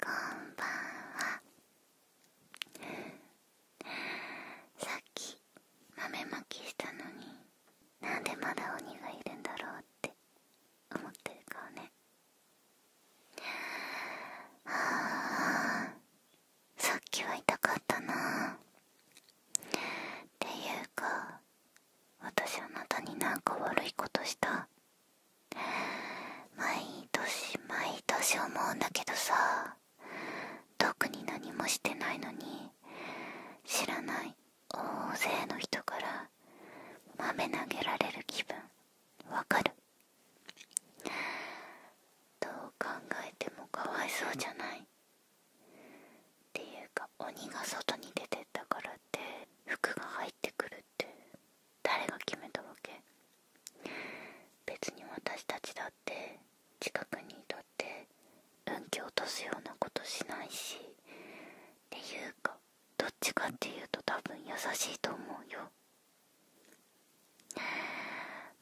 こんばんはさっき豆まきしたのになんでまだ鬼がいるんだろうって思ってる顔ねあさっきは痛かったなっていうか私あなたになんか悪いことした毎年毎年思うんだけどさ特に何もしてないのに知らない大勢の人から豆投げられる気分わかるどう考えてもかわいそうじゃないっていうか鬼が外に出てったからって服が入ってくるって誰が決めたわけ別に私たちだって近くにいたって運気落とすようなことしないしっていうかどっちかっていうと多分優しいと思うよ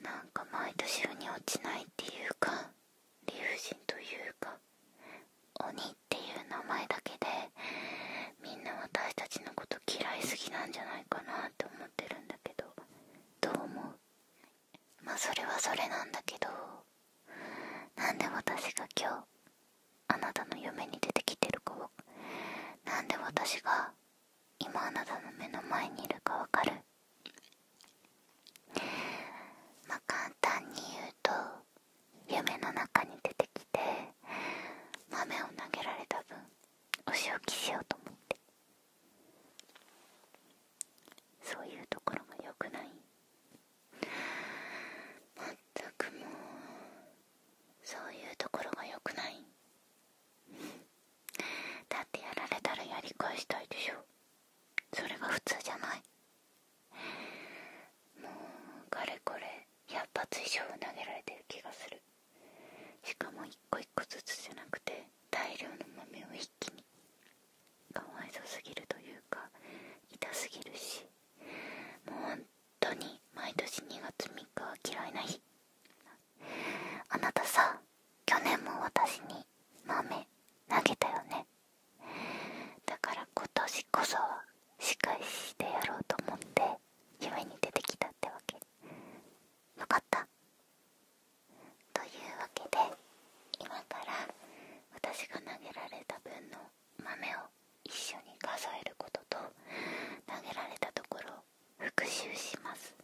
なんか毎年腑に落ちないっていうか理不尽というか鬼っっていう名前だけでみんな私たちのこと嫌いすぎなんじゃないかなって思ってるんだけどどう思うまあそれはそれなんだけどなんで私が今日あなたの夢に出てきてるかをなんで私が今あなたの目の前にいるかわかるまあ簡単に言うと夢の中に出てきて豆を投げられた分お仕置きしようと思ってそういうところがよくないまったくもうそういうところがよくないだってやられたらやり返したいでしょそれが普通じゃないもうかれこれ100発以上投げられてる気がするしかも1個1個ずつじゃなくて大量の豆を一気にかわいそすぎるというか痛すぎるしもう本当に毎年2月3日は嫌いな日あなたさ去年も私に豆投げたよねだから今年こそは仕返ししてやろうと思って夢に出てきたってわけよかったというわけで今から私が投げられた分の豆を一緒に数えることと投げられたところを復習します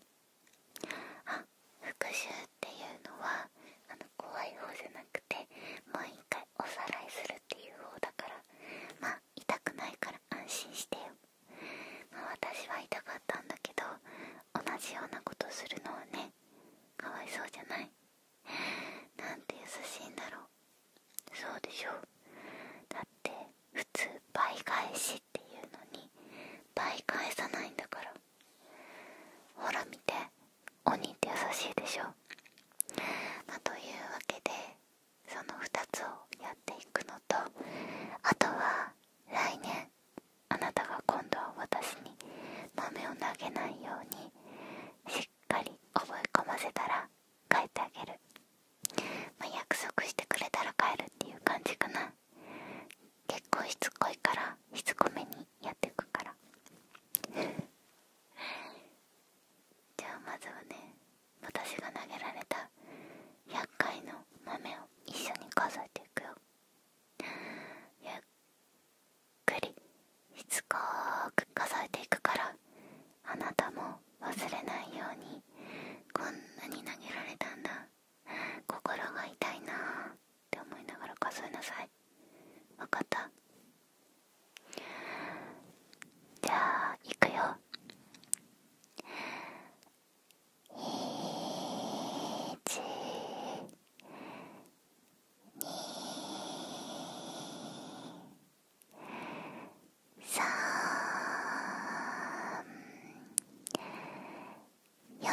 あ復習っていうのはあの怖い方じゃなくて毎回おさらいするっていう方だからまあ痛くないから安心してよ、まあ、私は痛かったんだけど同じようなことするのはねかわいそうじゃないなんて優しいんだろうそうでしょだって普通倍返しっていうのに倍返さないんだからほら見て鬼って優しいでしょ、というわけでその2つをやっていくのとあとは来年あなたが今度は私に豆を投げないようにしっかり覚え込ませたら帰ってあげる、ま約束してくれたら帰るっていう感じかな結構しつこいからしつこめにやっていくからじゃあまずはね私が投げられた厄介の豆を一緒に数えていくよゆっくりしつこく数えていくからあなたも忘れないようにこんなに投げられたんだ心が痛いなーって思いながら数えなさいわかったじゃあいくよ一、二、三、四、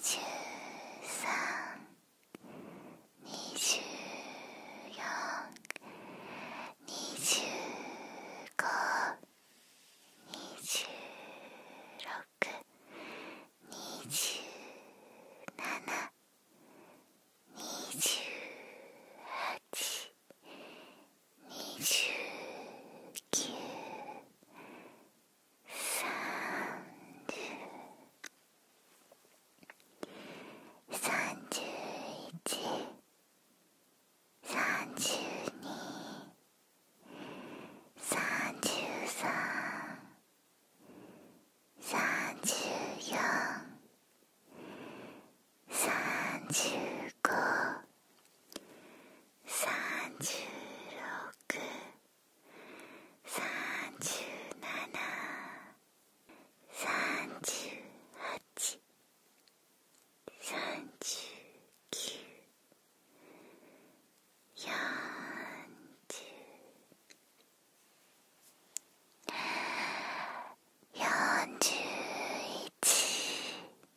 十三二十四二十五二十六二十七二十八二十九三十五三十六三十七三十八三十九四十四十一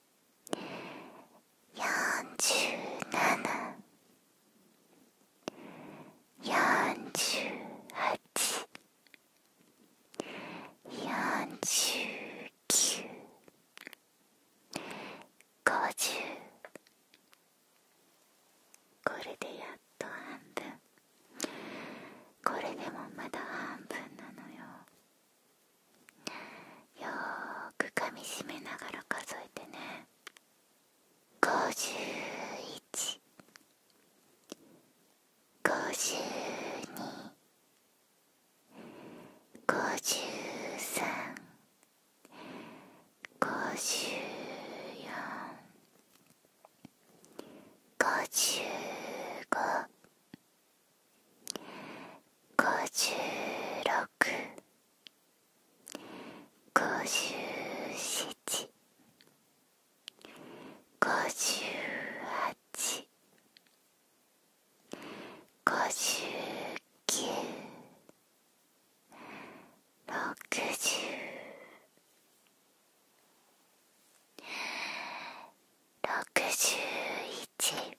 47…48…49…50… これでやっと半分これでもまだ半分なのよ。よーく噛みしめながら数えてね51 52 53 54 55 56五十六五十七五十八五十九六十六十一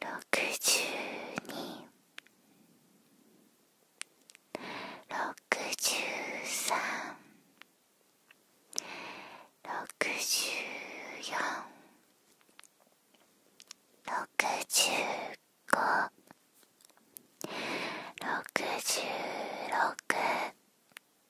六十二六十三六十四六十五六十六 67…68…69…70…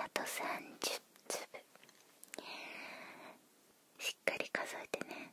あと30粒しっかり数えてね。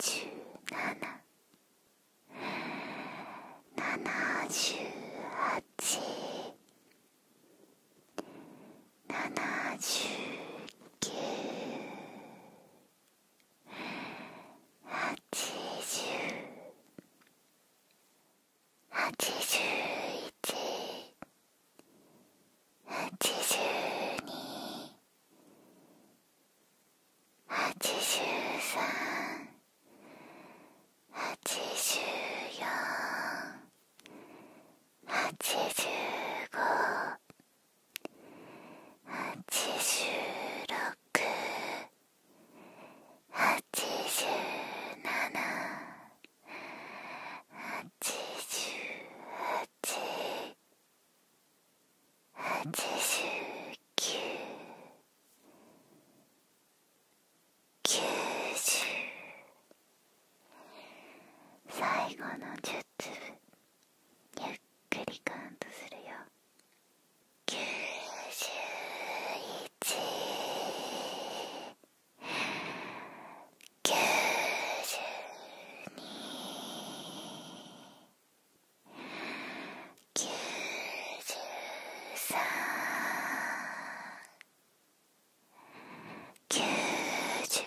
七十七七十八七十九八十八十一8十8八8三8十8八8五8十8 8十七八十八最後の10ゆっくりカウントするよ91九十二九十三九十四九十五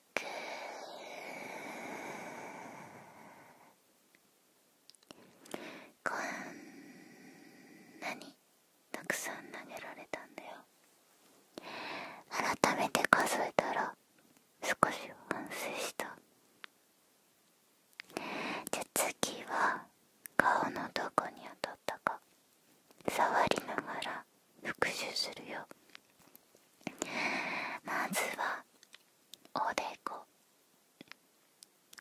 くこんなにたくさん投げられたんだよ改めて数えたら少し反省したじゃ次は顔のどこに当たったか触りながら復習するよまずはおでこ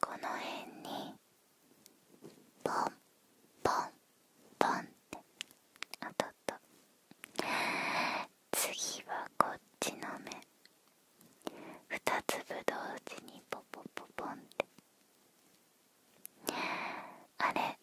この辺にポンポンポンってあとっと次はこっちの目2粒同時にポポポポンってあれ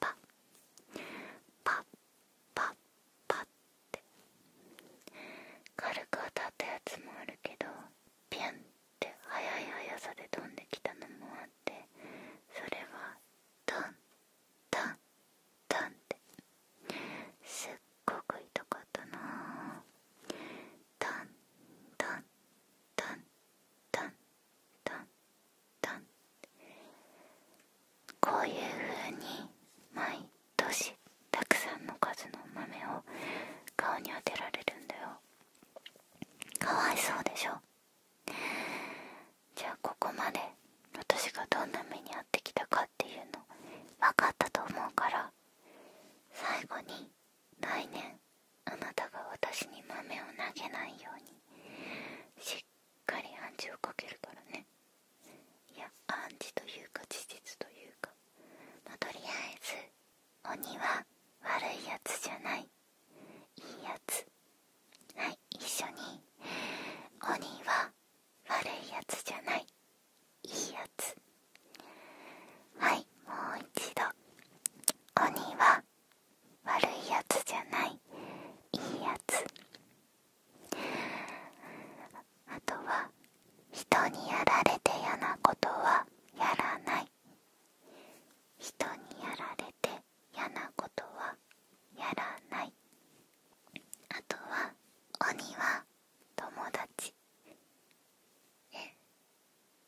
パッパッパッって軽く当たったやつもあるけどピュンって速い速さで飛んできたのもあってそれはドンドンドンってすっごく痛かったなぁ…ンドンドンドンドンドンこういうふうに毎年たくさんの数の豆を顔に当てられるんだよかわいそうでしょじゃあここまで私がどんな目に遭ってきたかっていうの分かったと思うから最後に来年あなたが私に豆を投げないようにしっっかり暗示をかけるからね暗示というか事実というかとりあえず鬼は悪いやつじゃないいいやつはい一緒に鬼は悪いやつじゃないいいやつはいもう一度鬼は悪いやつじゃないいいやつあとは人にやられて嫌なことはやらない人にやられて嫌なことはやらないあとは鬼は友達え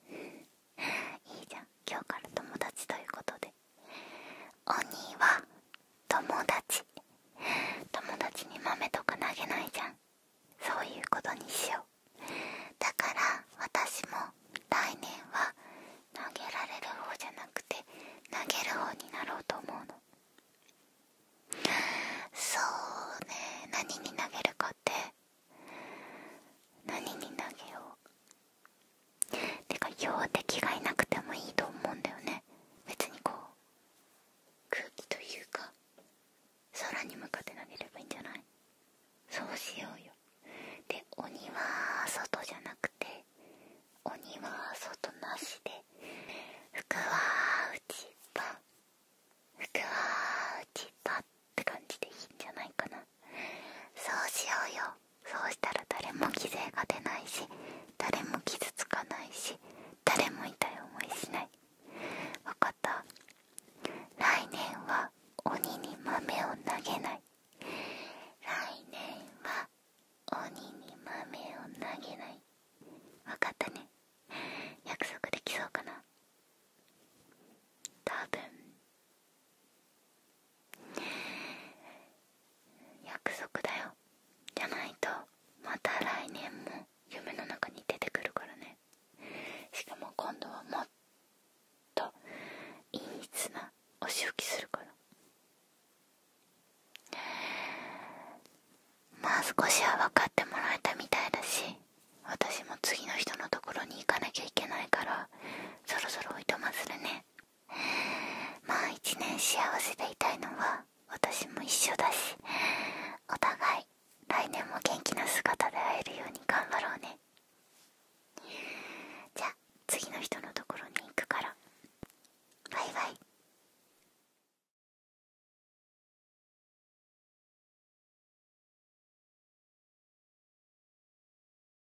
いいじゃん今日から友達ということで鬼は友達友達に豆とか投げないじゃんそういうことにしようだから私も来年は投げられる方じゃなくて投げる方になろうと思うのそうね何に投げるかって何に投げようてかよ標的がいなくてもいいと思うんだよね別にこう空気というか空に向かって投げればいいんじゃないそうしようよで鬼は外じゃなくて鬼は外なしで服は内場服は内場って感じでいいんじゃないかなそうしようよそうしたら誰も犠牲が出ないし誰も傷つかないし誰も痛い思いしない分かった来年は鬼に豆を投げない来年は鬼に豆を投げない分かったね約束できそうかな多分約束だよじゃないとまた来年も夢の中に出てくるからねしかも今度はもっといい綱お仕置きするからまあ少しは分かってもらえたみたいだし私も次の人のところに行かなきゃいけないからそろそろおいとまするねまあ一年幸せでいたいのは私も一緒だしお互い来年も元気な姿で会えるように頑張ろうねじゃあ次の人のところに行くからバイバイ